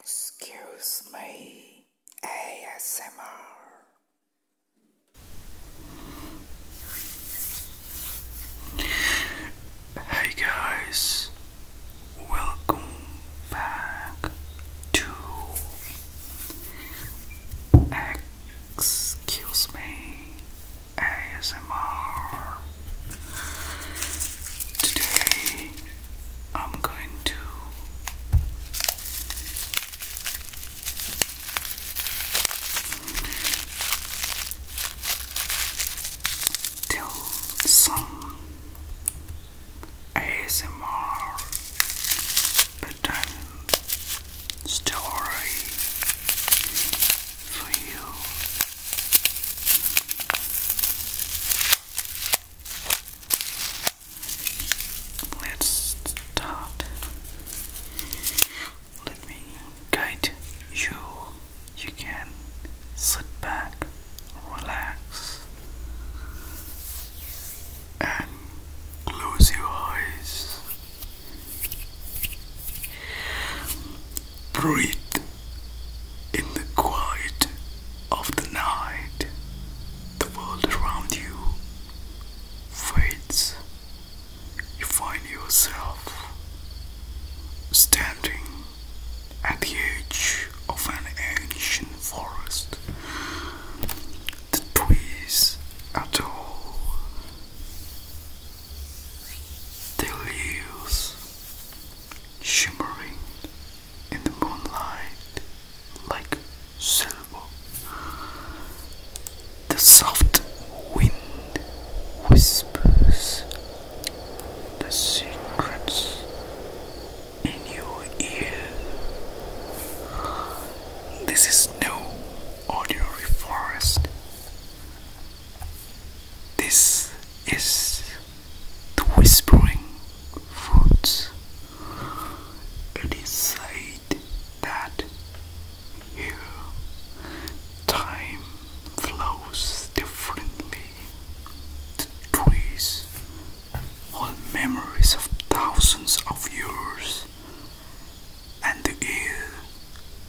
Excuse me, ASMR. Hey guys, welcome back to Excuse Me ASMR. Today I'm going to tell some ASMR bedtime story for you Let's start. Let me guide you. You can sit back, relax, and close your eyes breathe in the quiet of the night. The world around you fades. You find yourself standing at the edge of an ancient forest. The trees are tall, their leaves shimmering in the moonlight like silver. The soft wind whispers the secrets in your ear. This is no ordinary forest. This is the whispering woods. It is said that here time flows differently. The trees hold memories of thousands of years, and the air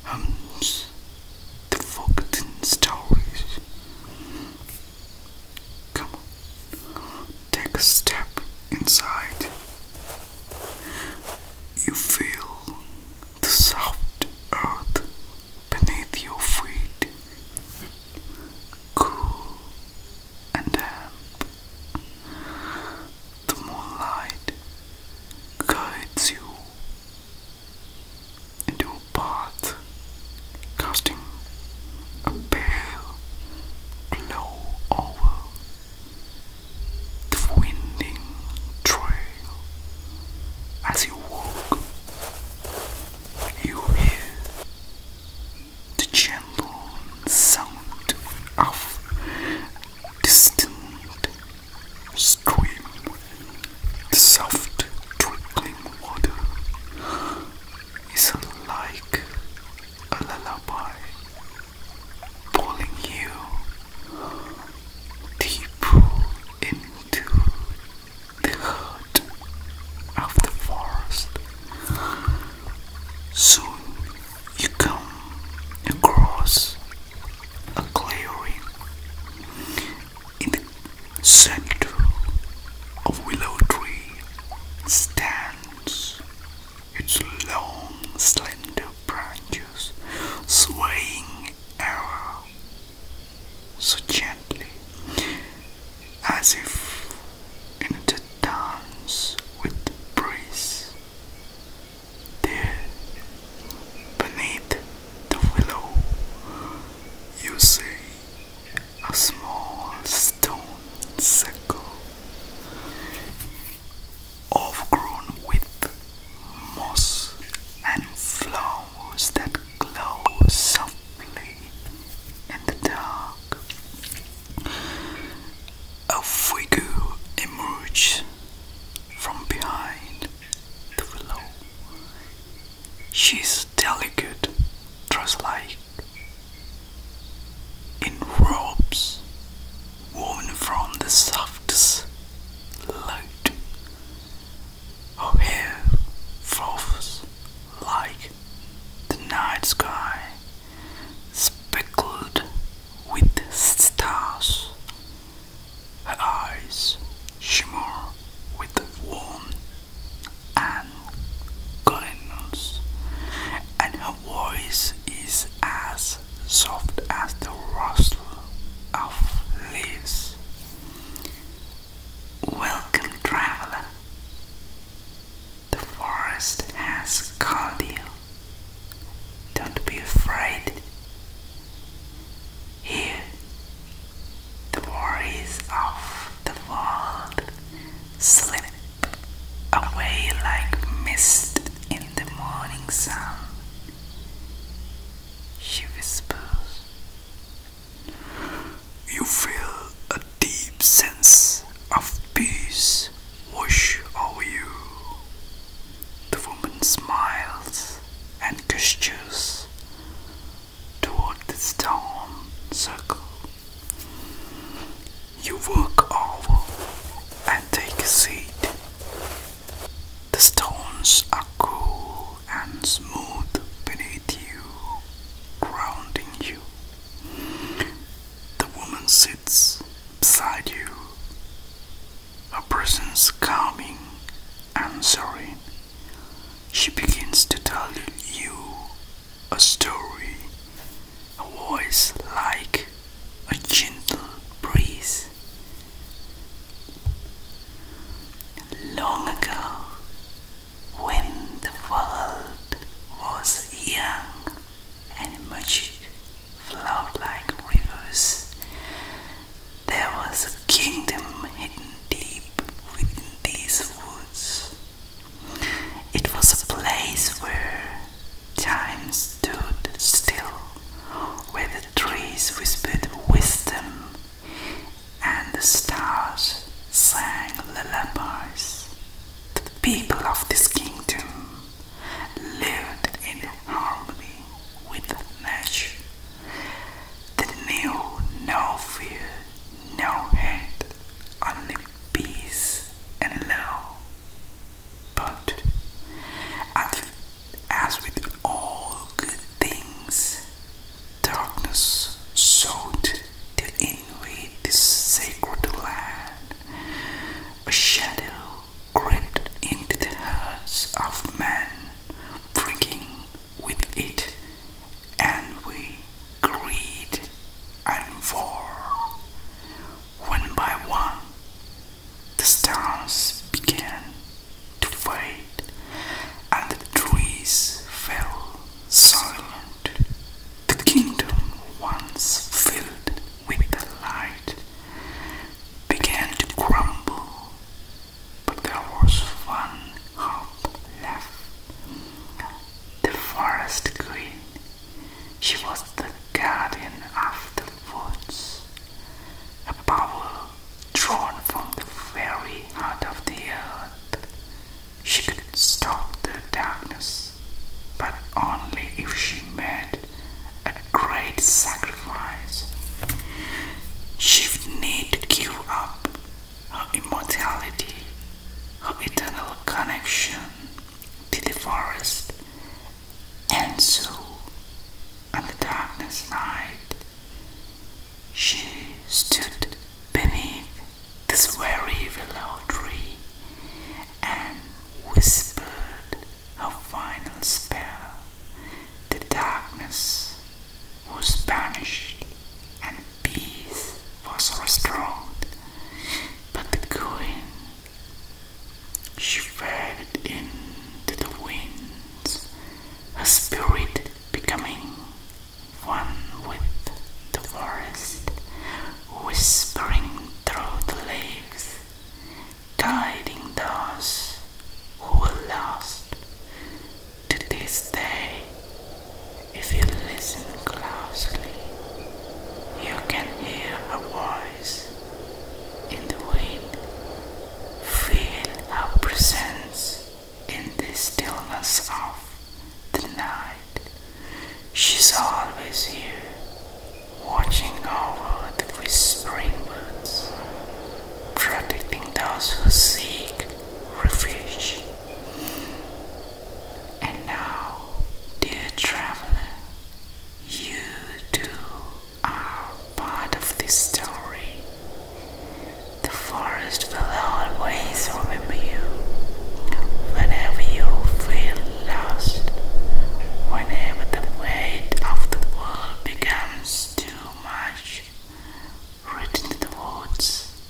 hums the forgotten stories. Come on, take a step inside. You feel the soft earth beneath your feet, cool and damp. The moonlight guides you into a bath, casting a pale glow over the winding trail. As you walk, you hear the gentle sound of distant stream the soft trickling water is like a lullaby pulling you deep into the heart of the forest. Soon you come across a clearing in the center of willow tree stands its long, slender branches swaying ever so gently as if in a dance with the breeze. There, beneath the willow, you see a small stone circle overgrown with moss and flowers that glow softly in the dark. A figure emerged from behind the willow She's delicate, dress-like, in robes woven from the softest light. Her hair falls like the night sky, speckled with stars. Her eyes shimmer with warmth and Cardinals, and her voice is as soft as the rustle of leaves. Welcome, traveler. The forest has called you. Don't be afraid. Here the worries of the world slip away like mist in the morning sun. She whispers, You feel a deep sense of peace wash over you. The woman smiles and gestures toward the storm circle. You walk over and take a seat. The stones are cool and smooth beneath you, grounding you. The woman sits beside you, A presence calming I'm sorry. She begins to tell you a story, a voice like a gentle breeze. Long ago, when the world was young and much flowed like rivers, there was a kingdom hidden deep within these woods. It was a place where time stood still, where the trees whispered wisdom and the stars sang lullabies. The people of this kingdom lived in harmony with nature. They knew no fear, no hate, only peace and love. But as with all good things, darkness sought to invade this sacred land. A shadow crept into the hearts of men, bringing with it and we greed and fall. One by one, the stars began to fade and the trees fell silent. The kingdom once filled with the light began to crumble but there was one hope left. The forest queen. She was the guardian of the woods, a power drawn from the very heart of the earth. She could stop the darkness, but only if she made a great sacrifice. She would need to give up her immortality, of eternal connection to the forest, and so on the darkness night, she stood beneath this very willow tree and whispered a final spell. The darkness was banished and peace was restored, but the queen she fled into the winds, her spirit becoming one with the forest, whispering through the leaves, guiding those who were lost to this day, if you listen closely, you can hear a voice in the wind. Feel her presence in the stillness of the night. She's always here, watching over the whispering birds, protecting those who seek refuge. And now, dear traveler, you too are part of this story. The forest will always remember you whenever you feel lost, whenever the weight of the world becomes too much. Return to the woods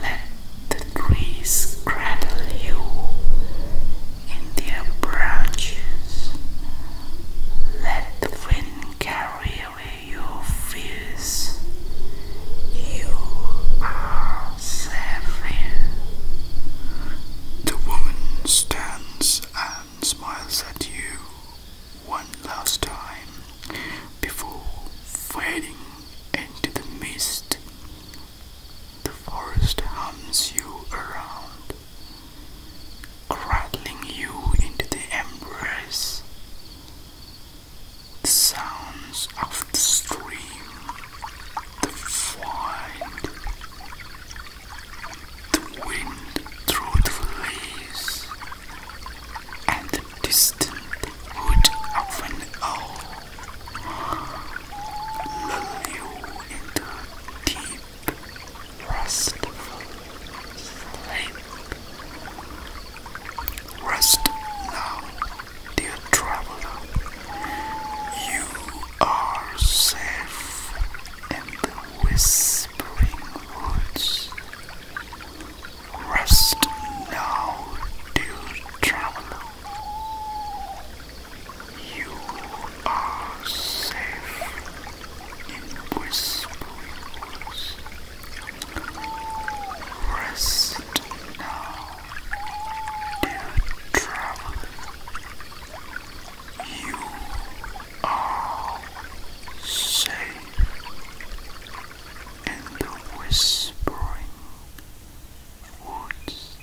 let the trees cradle you in their branches. Let the wind carry away your fears. You are safe here. The woman stands and smiles at you one last time before fading into the mist. The forest hums you around, cradling you into the embrace. The sounds of the stream, the wind, the wind through the leaves, and the distant wood of an owl oh, lull you deep, restful sleep. Rest now, dear traveler. You are safe in whispering woods. Rest now, dear traveler. You are safe in Whispering Rest now, dear traveler. You are safe and the whispering woods.